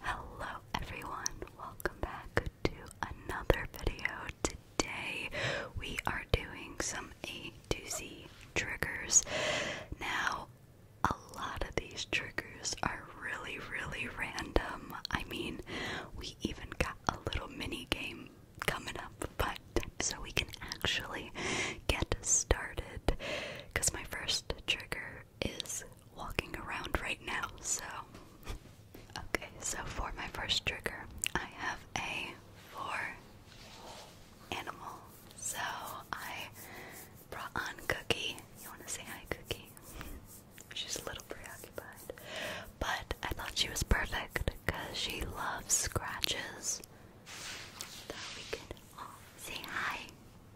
Hello everyone, welcome back to another video. Today we are doing some A to Z triggers. Now, a lot of these triggers are really, really random. I mean, we even got a little mini game coming up, but so we can actually get started. Because my first trigger is walking around right now, so. Okay, so for my first trigger, I have a four animal. So I brought on Cookie. You want to say hi, Cookie? She's a little preoccupied. But I thought she was perfect because she loves scratches. Thought we could all say hi.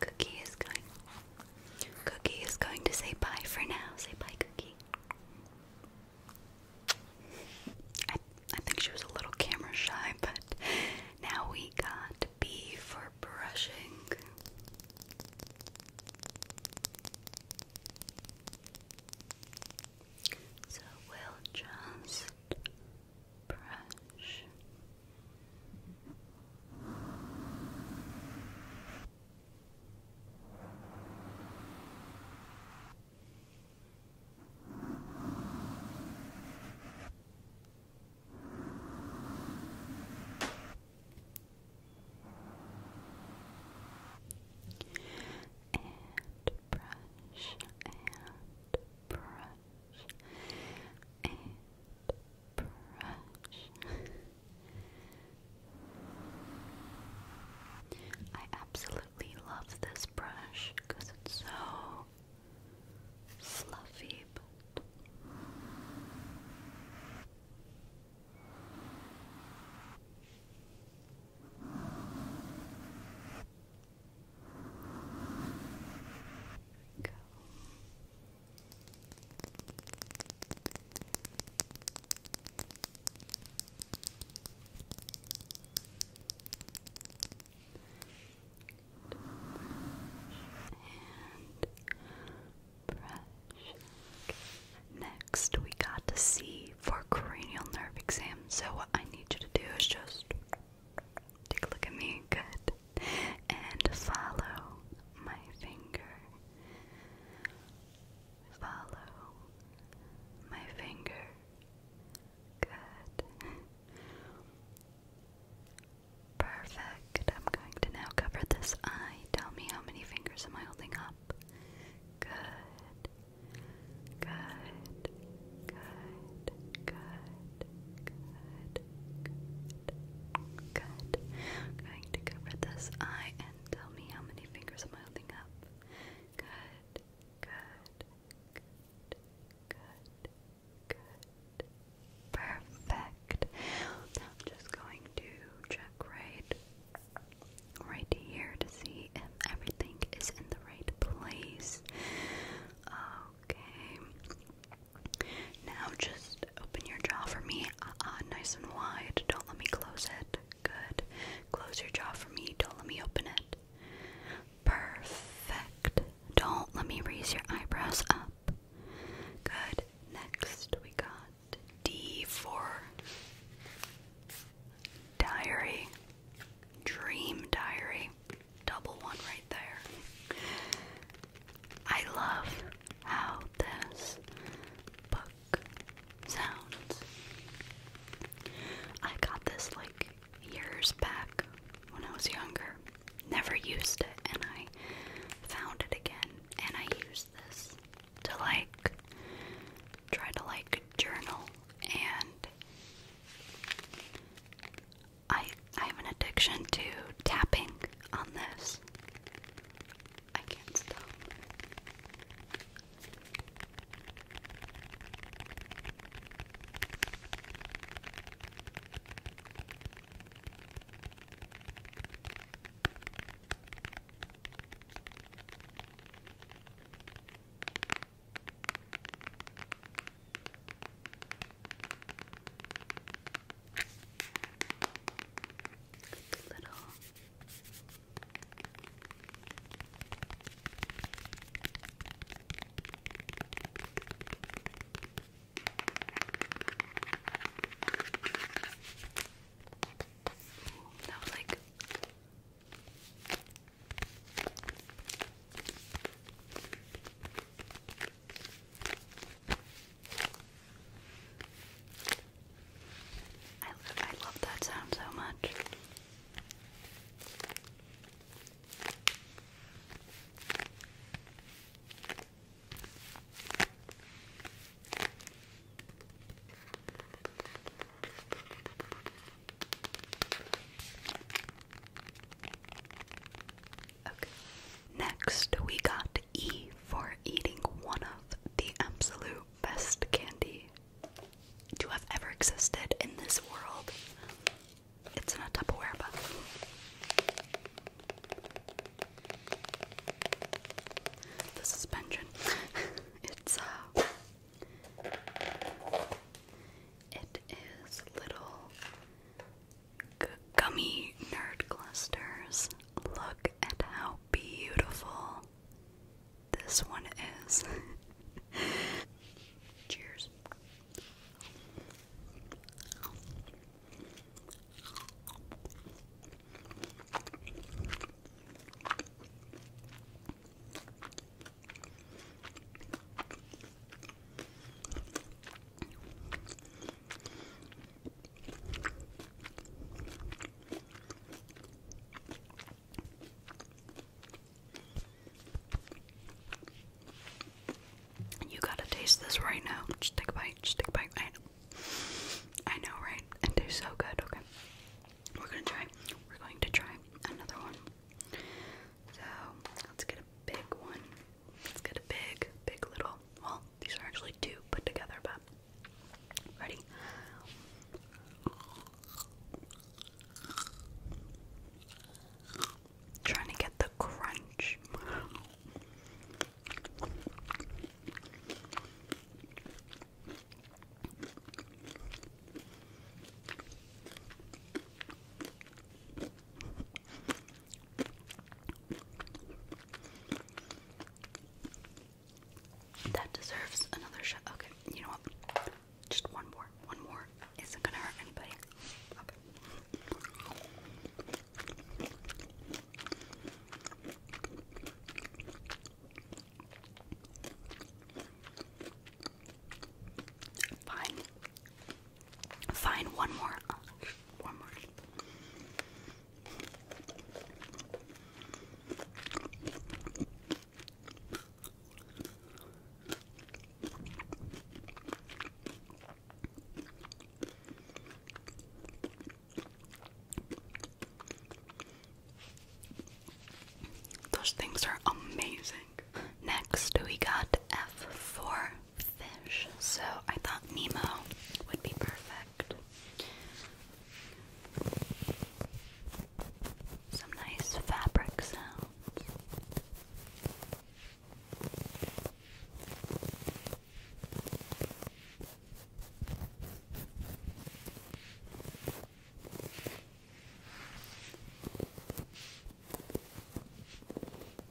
Cookie is going. Cookie is going to say bye for now. Say bye, Cookie. I I think she was a little camera shy, but now we got B for brushing. So we'll just brush. And brush and brush and brush. I absolutely love this brush because it's so fluffy. Go. And brush. Next, we got to see for cranial nerve exam. So, what I need you to do is just Take a look at me. Good. And follow my finger. Follow my finger. Good. Perfect. I'm going to now cover this eye. Tell me how many fingers am I holding up? Good. Good. Good, good, good, good, good. I'm going to cover this eye and tell me how many fingers am holding up. Good, good, good, good, good. Perfect. I'm just going to check right right here to see if everything is in the right place. Okay. Now just open your jaw for me. uh nice and wide. Don't let me close it. Good. Close your jaw for me. Don't let me open it. Perfect. Don't let me raise your eyebrows up. Good. Next we got D for diary. Dream diary double one right there. I love how this book sounds. I got this like years back when I was younger. Never used it, and I found it again, and I used this to like try to like journal and I I have an addiction to tapping on this. I can't stop. Little Ooh, that was like I, I love that sound so much. Next, we got E for eating one of the absolute best candy to have ever existed in this world. It's in a Tupperware box. The suspension. it's uh it is little gummy nerd clusters. Look at how beautiful this one is. Cheers. You gotta taste this right now. Just take a bite, just take a bite. I know. I know, right? It tastes so good. Okay. We're gonna try. We're going to try another one. So let's get a big one. Let's get a big, big little. Well, these are actually two put together, but. Ready? Trying to get the crunch. That deserves another shot. Okay, you know what? Just one more. One more isn't gonna hurt anybody. Fine. Find one more. one more. Those things are amazing. Next, we got F for fish, so I thought Nemo would be perfect. Some nice fabric sounds.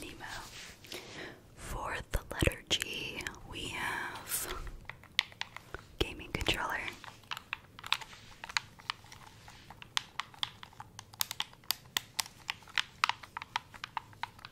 Nemo. For the letter G, we have gaming controller.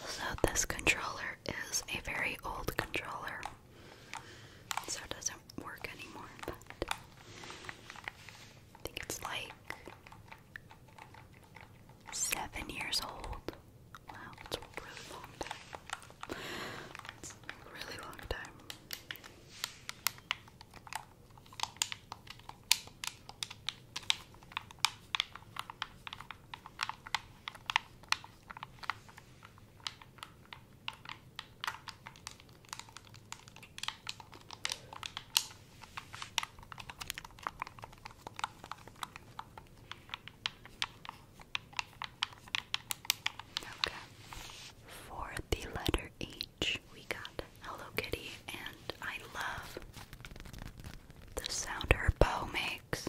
Also, this controller is a very old controller, so it doesn't work anymore, but I think it's like seven years old. Wow, it's a really long time. It's a really long time. Okay. For the letter E, we got Hello Kitty, and I love the sound her bow makes.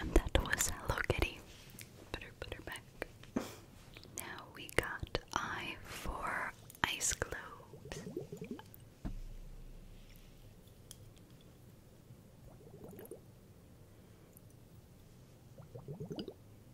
And that was Hello Kitty. Butter, butter back. now we got I for ice globes.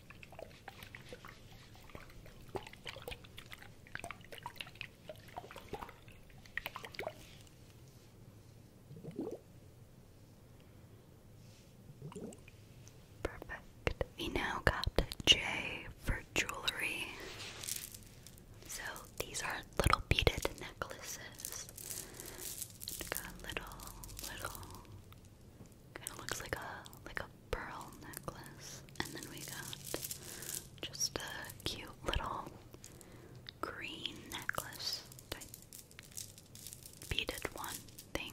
Perfect. We now got J for jewelry. So these are little beaded necklaces. Got little, little Kind of looks like a like a pearl necklace, and then we got just a cute little green necklace beaded one thing.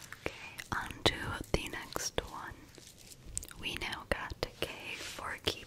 Okay, on the next one. We now got K for keyboard.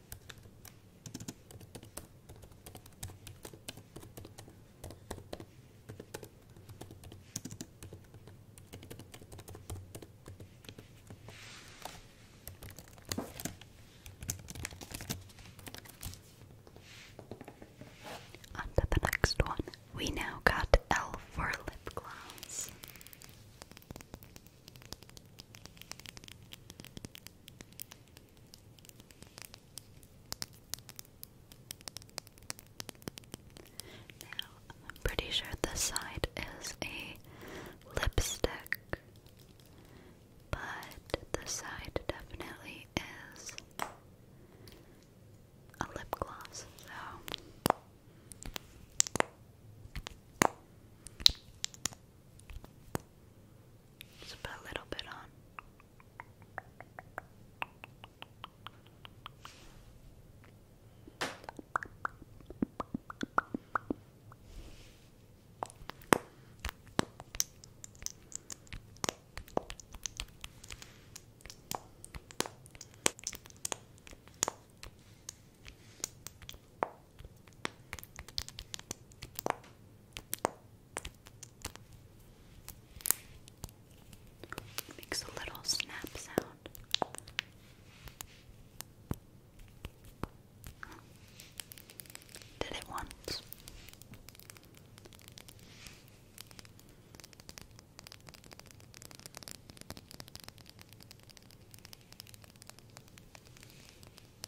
On the next one. We now got L for lip gloss. I'm pretty sure this side is a lipstick, but this side definitely is a lip gloss, so. Just put a little bit on. Makes a little snap sound. Did it once. Okay.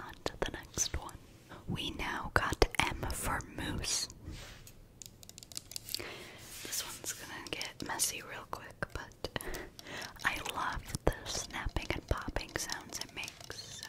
On to the next one. We now got M for moose. This one's gonna get messy real quick, but I love the snapping and popping sounds it makes, so.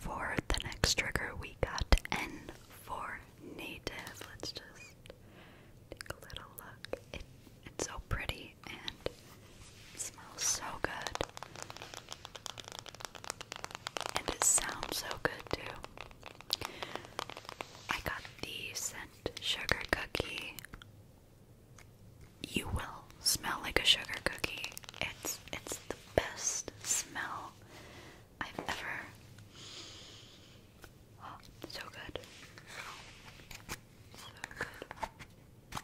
For the next trigger, we got N for native. Let's just take a little look. It's so pretty and smells so good. And it sounds so good too. I got the scent sugar cookie. You will smell like a sugar cookie. It's it's the best smell I've ever so good. So good.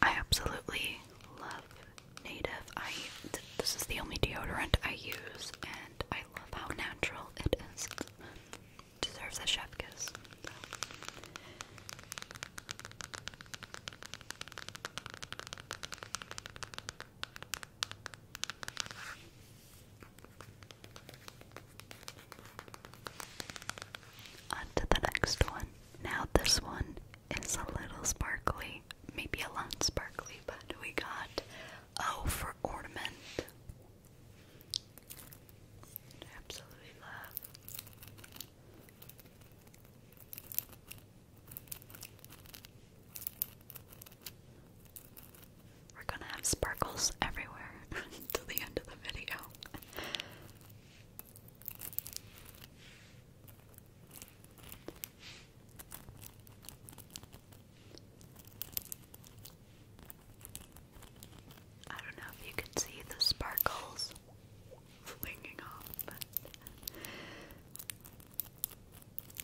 I absolutely love Native. I this is the only deodorant I use, and I love how natural it is. Deserves a chef kiss. On to the next one. Now, this one is a little sparkly, maybe a lot sparkly, but we got O for ornament. absolutely love. We're gonna have sparkles everywhere to the end of the video. I don't know if you can see the sparkles flinging off,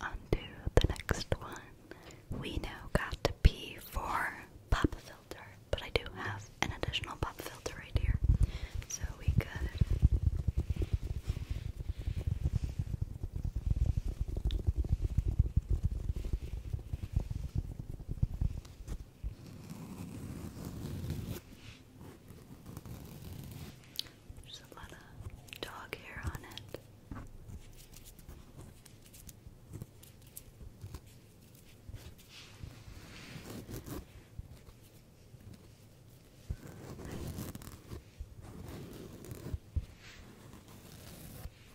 On the next one. We now got to P four pop filter, but I do have an additional pop filter right here. So we could there's a lot of dog hair on it. Okay, and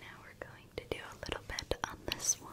now we're going to do a little bit on this one.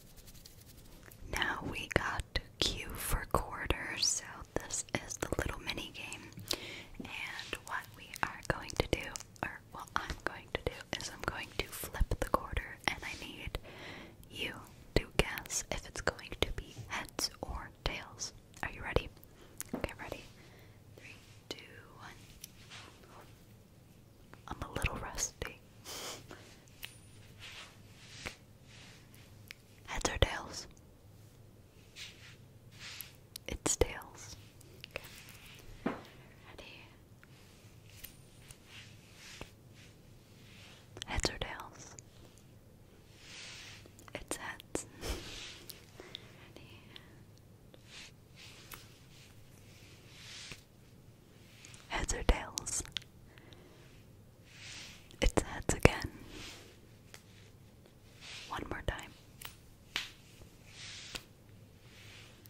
Now we got Q for quarters, so this is the little mini game. And what we are going to do, or what I'm going to do, is I'm going to flip the quarter, and I need you to guess if it's going to be heads or tails. Are you ready? Okay, ready? Three, two, one. I'm a little rusty. Heads or tails? It's tails. Ready? Heads or tails? It's heads. Ready? Heads or tails? It's heads again. One more time.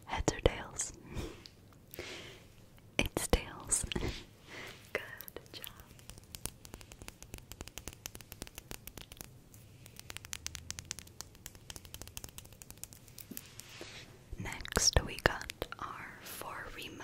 Heads or tails? it's tails. Good job. Next, we got our four remote.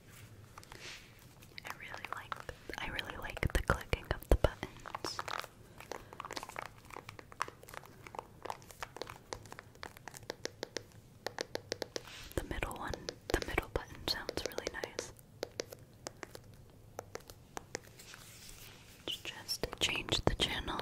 I really like I really like the clicking of the buttons. The middle one, the middle button sounds really nice. Just change the channel.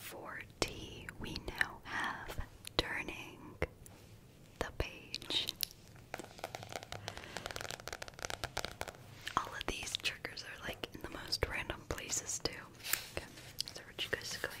For T, we now have turning the page. All of these triggers are like in the most random places too. so what you guys going to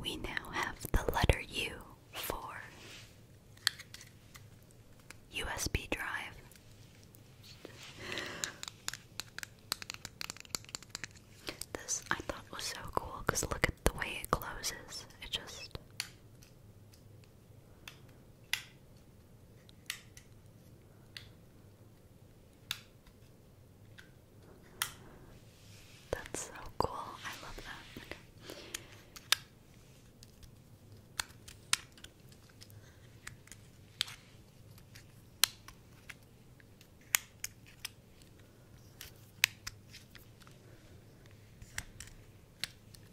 We now have the letter U for USB drive. This I thought was so cool because look at the way it closes. It just that's so cool. I love that.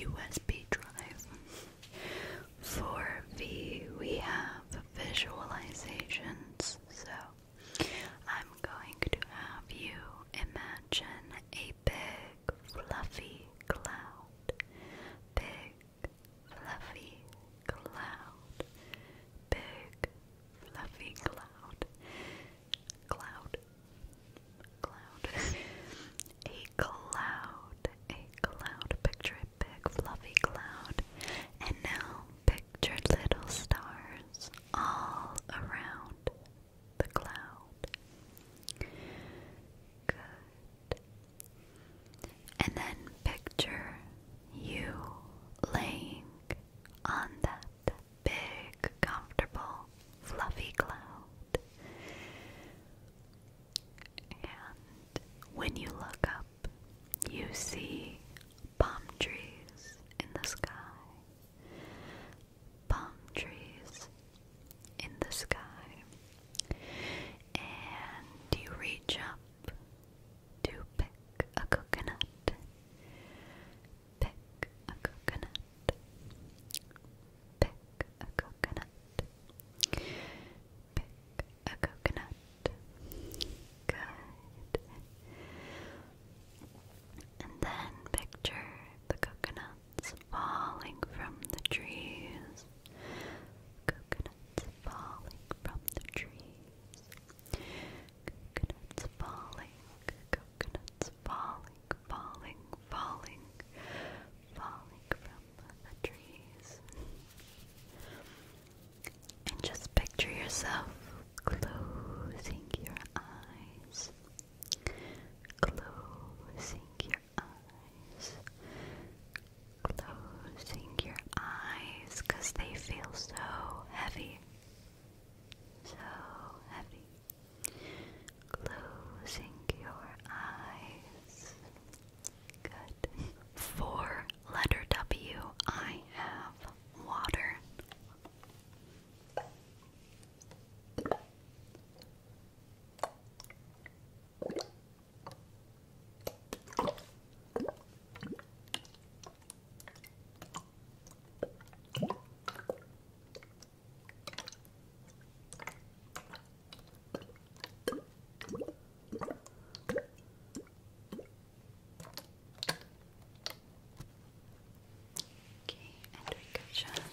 USB drive for V, we have visualizations. So I'm going to have you imagine a big, fluffy cloud. Big, fluffy cloud. Big, fluffy cloud. Cloud. Cloud. a cloud cloud, a cloud, picture a big fluffy cloud, and now picture little stars all around the cloud. Good. And then picture you laying on that big, comfortable, fluffy cloud. And when you look up, you see palm trees in the sky. Palm trees in the sky. And you reach up to pick a coconut. Pick a coconut. Pick a coconut. Pick a coconut. Good. And then picture the coconuts falling from the trees. Coconuts falling from the trees. Coconuts falling, coconuts falling, falling, falling, falling from the trees. And just picture yourself closing your eyes. Closing your eyes. Closing your eyes they feel so heavy. So heavy. Closing your eyes. Good. letter W, I have water. Okay, and we could just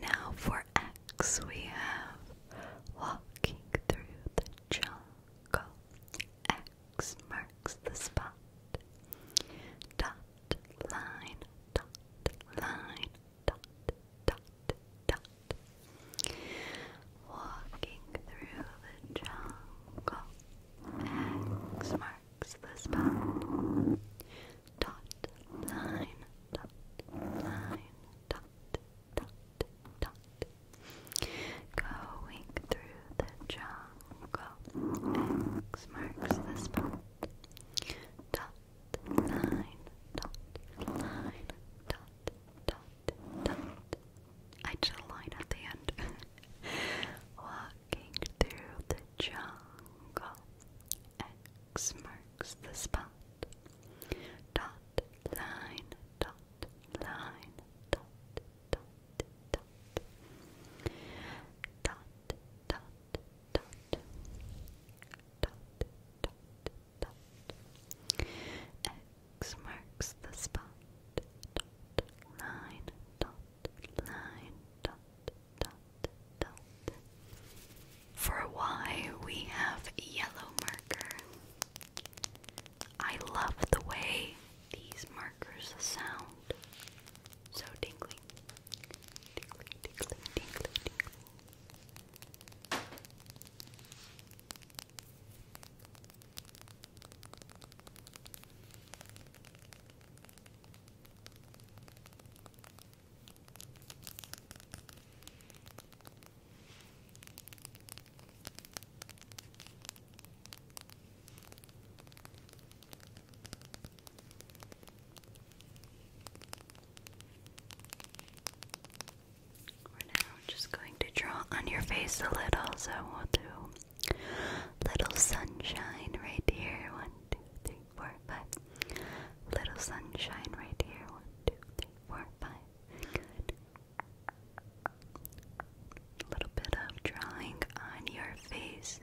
Now for X, we have walking through the jungle. X marks the spot. Dot, line, dot, line, dot, dot, dot. Walking through the jungle. X marks the spot. Dot, line, dot, line, dot, dot, dot. Going through the jungle, X marks the spot. Dot, line, dot, line, dot, dot, dot. I did a line at the end. Walking through the jungle, X marks the spot dot line dot line dot dot dot dot dot dot dot dot dot X marks the spot dot dot line dot dot dot for why we have yellow marker. I love the way these markers sound. So tingly. Tingly, tingly, tingly, tingly. We're now just going to draw on your face a little, so we'll little sunshine right here. One, two, three, four, five. Little sunshine right here. One, two, three, four, five. Good. A little bit of drawing on your face,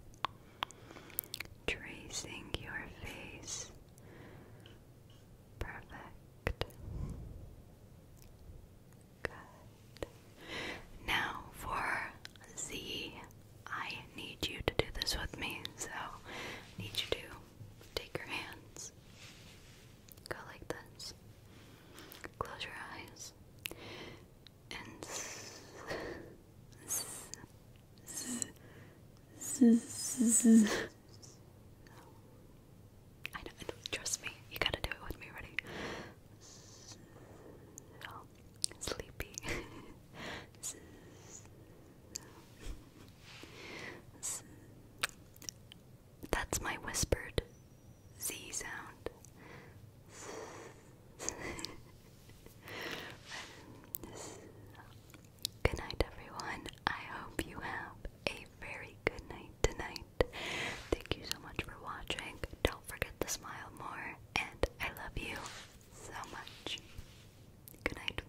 tracing your face. Perfect. Good. Now for Z, I need you to do this with me. So, I need you to take your hands, go like this, close your eyes, and I know, trust me, you gotta do it with me, ready? sleepy. That's my whispered Z sound. good night, everyone. I hope you have a very good night tonight. Thank you so much for watching. Don't forget to smile more, and I love you so much. Good night.